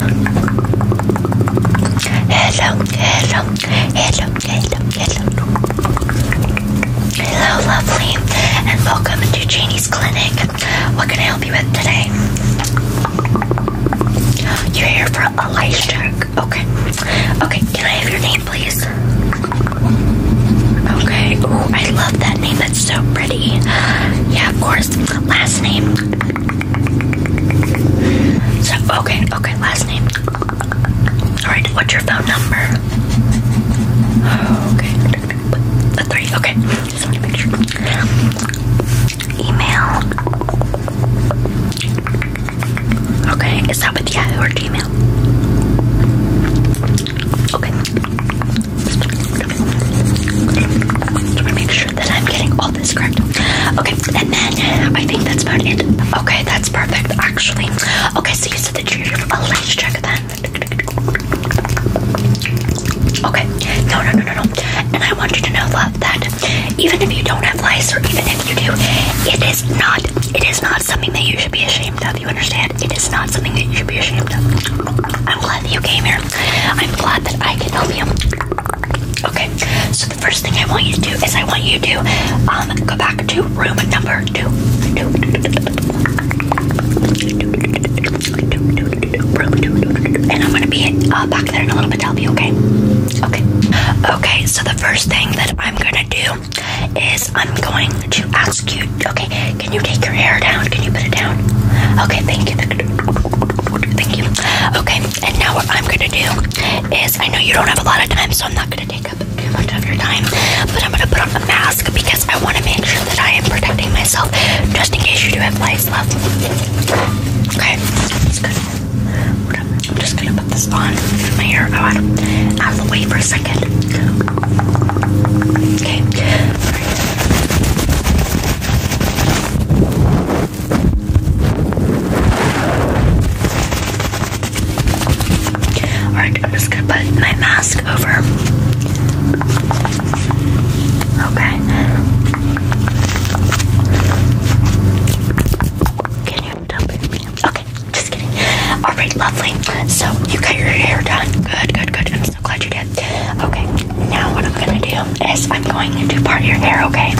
Hello, hello, hello, hello, hello. Hello, lovely, and welcome to Janie's Clinic. What can I help you with today? You're here for a lice check. Okay. Okay, can I have your name, please? Okay. Oh, I love that name. That's so pretty. Yeah, of course. Last name. So, okay, okay, last name. Alright, what's your phone number? Okay, the three, okay. Just want to make sure. Email. Okay, is that with Yahoo or Gmail? Okay. Make sure that I'm getting all this correct. Okay, and then I think that's about it. Okay, that's perfect, actually. Okay, so you said that you're a lice check then. Okay, no, no, no, no, no. And I want you to know, love, that even if you don't have lice, or even if you do, it is not, it is not something that you should be ashamed of. You understand? It is not something that you should be ashamed of. I'm glad that you came here. I'm glad that I can help you. Okay, so the first thing I want you to do is I want you to um, go back to room number two. Uh, okay, so the first thing that I'm gonna do is I'm going to ask you, okay, can you take your hair down? Can you put it down? Okay, thank you. Thank you. Okay, and now what I'm gonna do is I know you don't have a lot of time, so I'm not gonna take up too much of your time, but I'm gonna put on a mask because I wanna make sure that I am protecting myself just in case you do have lice left. Okay, that's good. I'm just gonna put this on, my hair out, out for a second. Okay. Alright, I'm just gonna put my mask over. Okay. Can you tell me? Okay, just kidding. Alright, lovely. So you got your hair done. Good, good, good so glad you did. Okay, now what I'm gonna do is I'm going to do part of your hair, okay?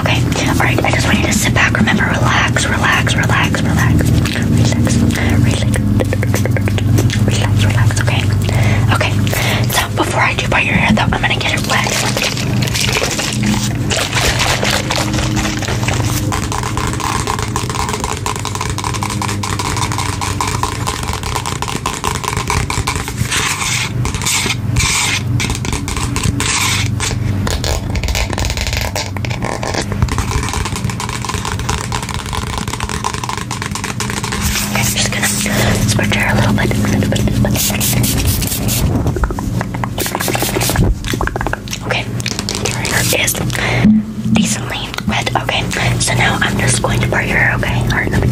Okay, alright, I just want you to sit back, remember, relax, relax, relax, relax, relax, relax, relax, relax, okay? Okay, so before I do part your hair though, I'm gonna get it wet. Okay, I'm just gonna squirt her a little bit, a little bit, a little bit. Okay, here her is decently wet. Okay, so now I'm just going to part your hair. Okay, all right, let me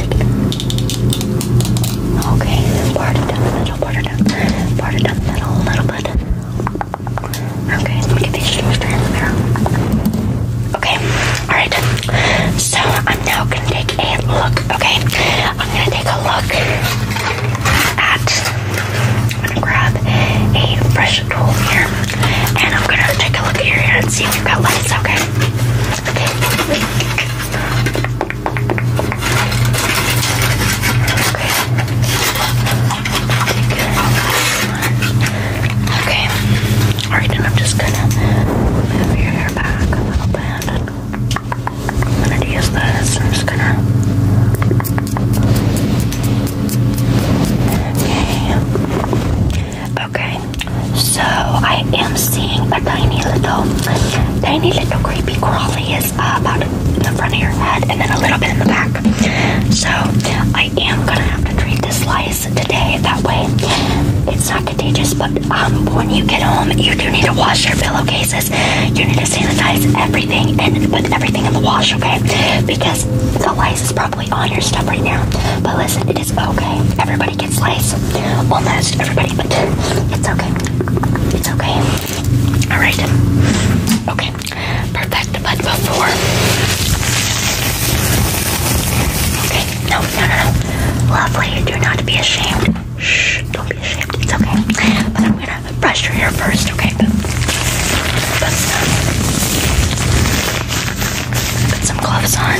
Okay, part it down the middle, part it down, part it down the middle a little bit. Okay, let me get these strings to in the mirror. Okay, all right. So I'm now gonna take a look. Okay, I'm gonna take a look at. I'm gonna grab a fresh tool here and I'm gonna take a look at your hair and see if you've got lice, okay? Okay. Okay. Alright, and I'm just gonna move your hair back a little bit. I'm gonna use this. I'm just gonna Okay. So I am seeing a tiny little, tiny little creepy crawly is uh, about in the front of your head and then a little bit in the back. So I am gonna have to treat this lice today. That way, it's not contagious. But um, when you get home, you do need to wash your pillowcases. You need to sanitize everything and put everything in the wash, okay? Because the lice is probably probably on your stuff right now. But listen, it is okay. Everybody gets lice. Almost everybody, but it's okay. It's okay. Alright. Okay. Perfect. But before. Okay. No, no, no, no. Lovely. Do not be ashamed. Shh. Don't be ashamed. It's okay. But I'm gonna brush your hair first, okay? Put some gloves on.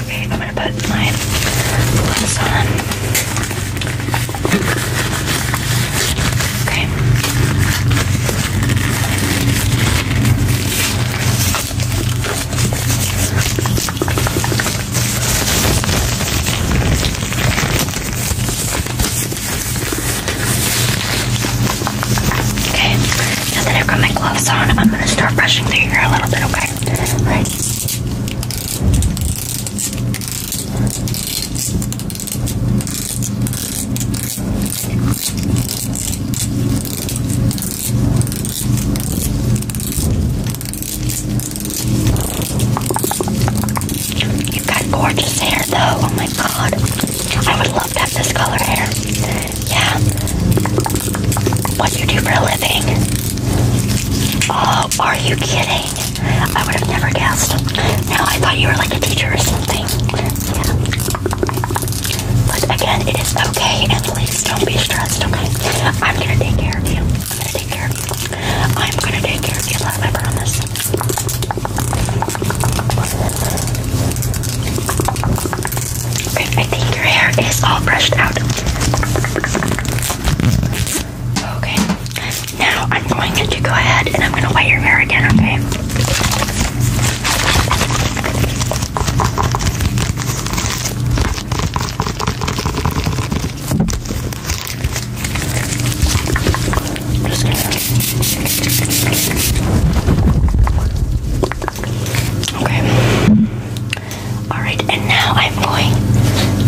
Okay, I'm gonna put my gloves on. Okay. Okay, now that I've got my gloves on, I'm going to start brushing through your hair a little bit, okay? All right. You got gorgeous hair though. Oh my god. I would love to have this color hair. Yeah. What do you do for a living? Oh, are you kidding? I would have never guessed. No, I thought you were like a teacher or something. But again, it is okay, and please don't be stressed, okay? I'm gonna take care of you. I'm gonna take care of you. I'm gonna take care of you, I promise. I think your hair is all brushed out. Okay. Now I'm going to go ahead and I'm gonna wet your hair again, okay? Okay. Alright, and now I'm going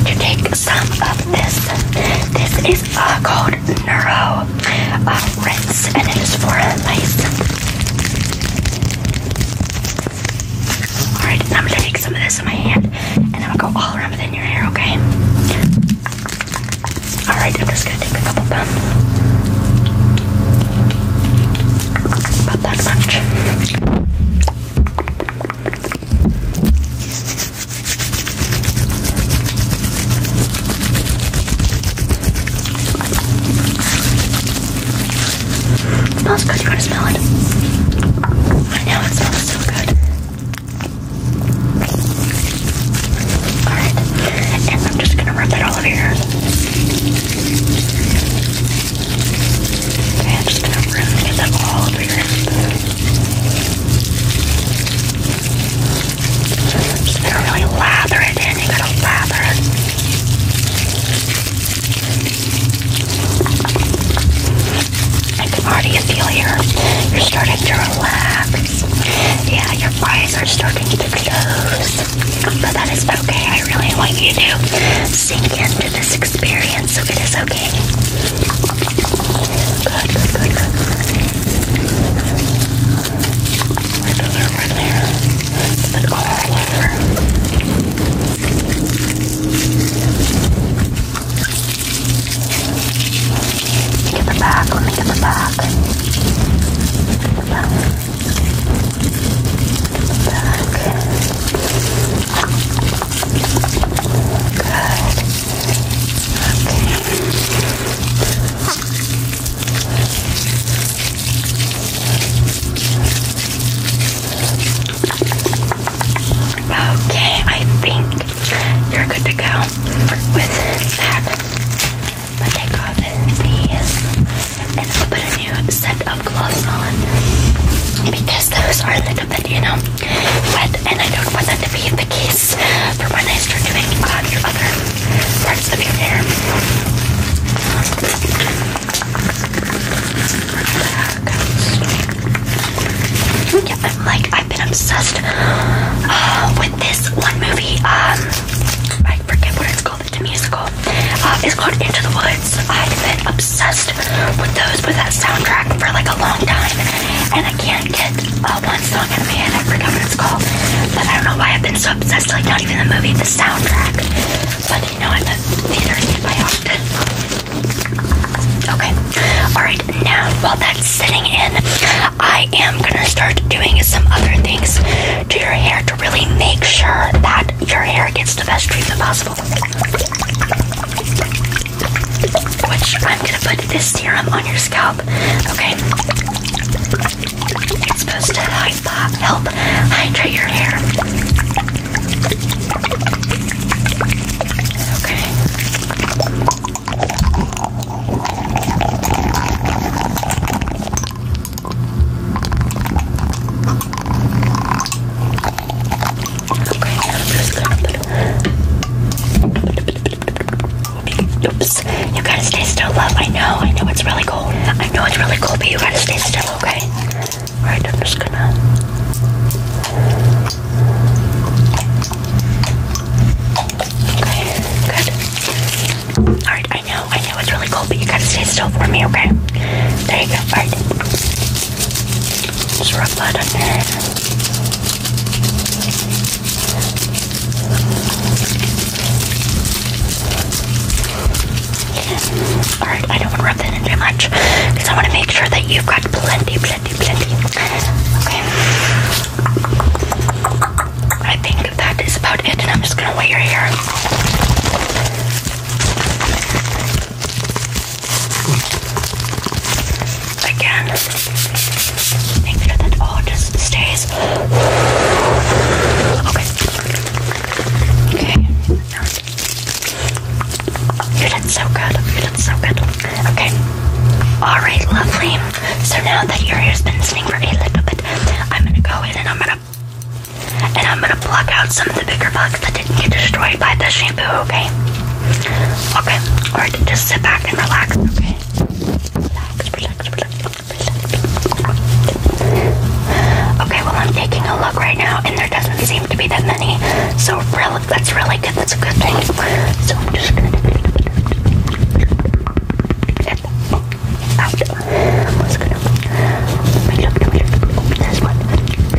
to take some of this. This is uh, called Neuro uh, Rinse, and it is for lice. Alright, I'm gonna take some of this in my hand, and I'm gonna go all around within your hair, okay? Alright, I'm just gonna take a couple pumps. About that much. It smells good, you wanna smell it? I know it smells so good. Alright, and I'm just gonna rub that all over your hair. Okay, I'm just gonna rub get that all over your hair. They're really lather it in. You gotta lather it. I can already feel your, you're starting to relax. Yeah, your eyes are starting to close. But that is okay. I really want you to sink into this experience, so it is okay. Good, good, good, good. Right over, right there. And all over. Get the back, let me get the back. Get the back. Get the back. Good. Okay, I think you're good to go with that. But take off these and put a new set of gloves on because those are the bit you know, wet, and I don't want that to be the case for when I start doing your other parts of your hair. Um, yeah, i like, I've been obsessed uh, with this one movie. Um, I forget what it's called. It's a musical. Uh, it's called Into the Woods. I've been obsessed with those with that soundtrack for like a long time, and I can't get a uh, one song in my head. I forgot what it's called, but I don't know why I've been so obsessed. Like not even the movie, the soundtrack. But you know, at the theater nearby Okay, all right. Now while that's sitting in, I am gonna start doing some other things to your hair to really make sure that your hair gets the best treatment possible which I'm gonna put this serum on your scalp. Okay, it's supposed to help hydrate your hair. Okay. Okay, i You got stay still, I know, I know it's really cold. I know it's really cold, but you gotta stay still, okay? Alright, I'm just gonna Okay, good. Alright, I know, I know it's really cold, but you gotta stay still for me, okay? There you go. Alright. Just rub that under it. Alright, I don't want to rub that in too much because I want to make sure that you've got plenty, plenty, plenty. Okay. I think that is about it, and I'm just going to wet your hair. Again, make sure that all just stays. Okay. Okay. You did so good. You did so good. Okay. Alright, lovely. So now that your hair's been sitting for a little bit, I'm gonna go in and I'm gonna and I'm gonna pluck out some of the bigger bugs products that didn't get destroyed by the shampoo, okay? Okay, alright, just sit back and relax, okay? Okay, well, I'm taking a look right now, and there doesn't seem to be that many, so really, that's really good, that's a good thing. So I'm just gonna I'm just gonna. Let me look, let me look. Open this one.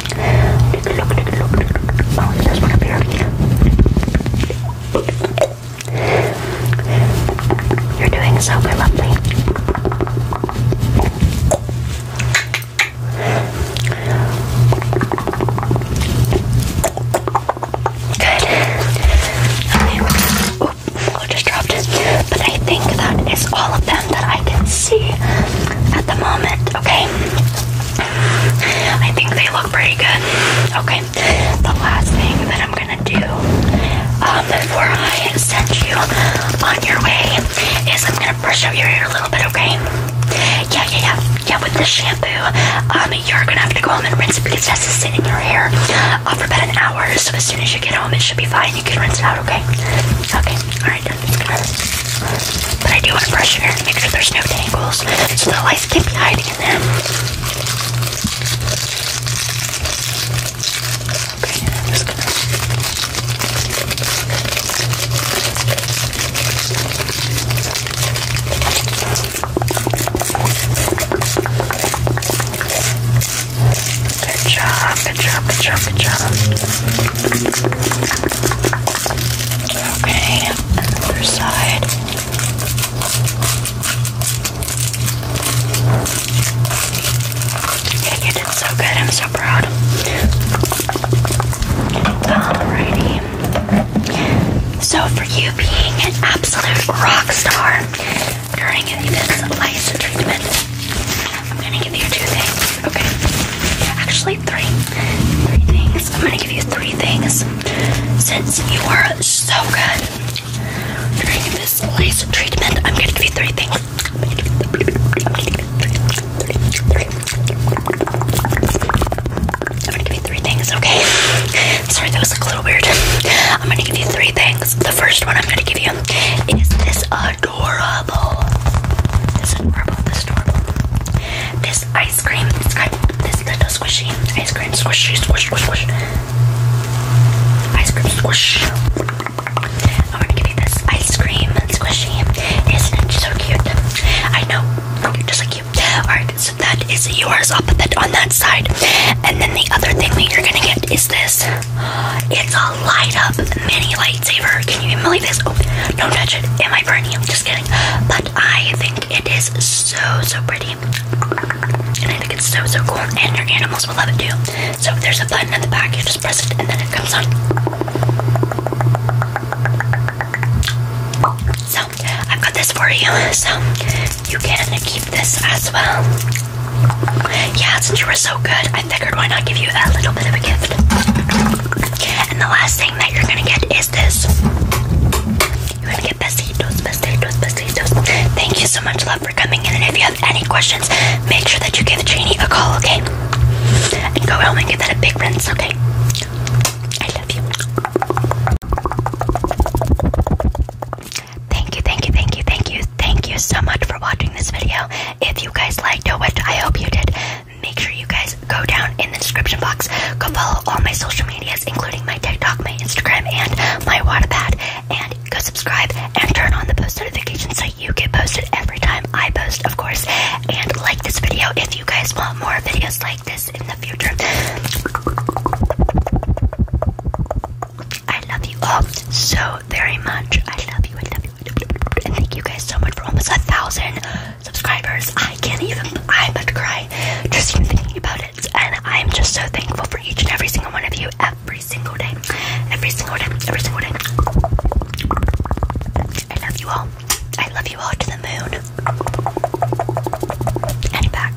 You're doing so good, Good. Okay. Oop, oh, I just dropped it. But I think that is all of them that I can see at the moment. Okay. I think they look pretty good. Okay, the last thing that I'm gonna do um, before I send you on your way is I'm gonna brush out your hair a little bit, okay? Yeah, yeah, yeah. Yeah, with the shampoo, um, you're gonna have to go home and rinse it because it has to sit in your hair uh, for about an hour. So as soon as you get home, it should be fine. You can rinse it out, okay? Okay, alright. But I do want to brush your hair to make sure there's no tangles so the ice can't be hiding in there. Good job, good job, good job, good job. Okay, and side. you did so good. I'm so proud. Alrighty. So for you being an absolute rock star during this laser treatment, I'm gonna give you two things. Okay. actually three. Three things. I'm gonna give you three things. Since you are so good during this laser treatment, I'm gonna give you three things. I'm gonna give you three things, okay? Sorry, that was a little weird. I'm gonna give you three things. The first one I'm gonna give you is this uh adorable. This is adorable. This is adorable. This ice cream, this, this little squishy ice cream, squishy, squish, squish, squish. Ice cream, squish. I'm gonna give you this ice cream, squishy. Isn't it so cute? I know, just like you. Alright, so that is yours. I'll put that on that side. And then the other thing that you're gonna get is this. It's a light up mini lightsaber. Can you believe this? Oh, touch it. It might burn you. Just kidding. But I think it is so, so pretty. And I think so, so cool. And your animals will love it too. So there's a button at the back, you just press it and then it comes on. So i got this for you. So you can keep this as well. Yeah, since you were so good, I figured why not give you a little bit of a gift. And the last thing that you're gonna get is this. Thank you so much, love, for coming in. And if you have any questions, make sure that you give Janie a call, okay? And go home and give that a big rinse, okay? I love you. Thank you, thank you, thank you, thank you thank you so much for watching this video. If you guys liked it, I hope you did, make sure you guys go down in the description box. Go follow all my social medias, including my TikTok, my Instagram, and my Wattpad. And go subscribe and turn on the post notifications so you get posted every time I post, of course. And like this video if you guys want more videos like this in the future. I love you all so very much. I love you. I love you. And thank you guys so much for almost a thousand subscribers. I can't even, I'm about to cry just thinking about it. And I'm just so thankful for each and every single one of you every single day. Every single day, every single day. I love you all. I love you all to the moon. And back.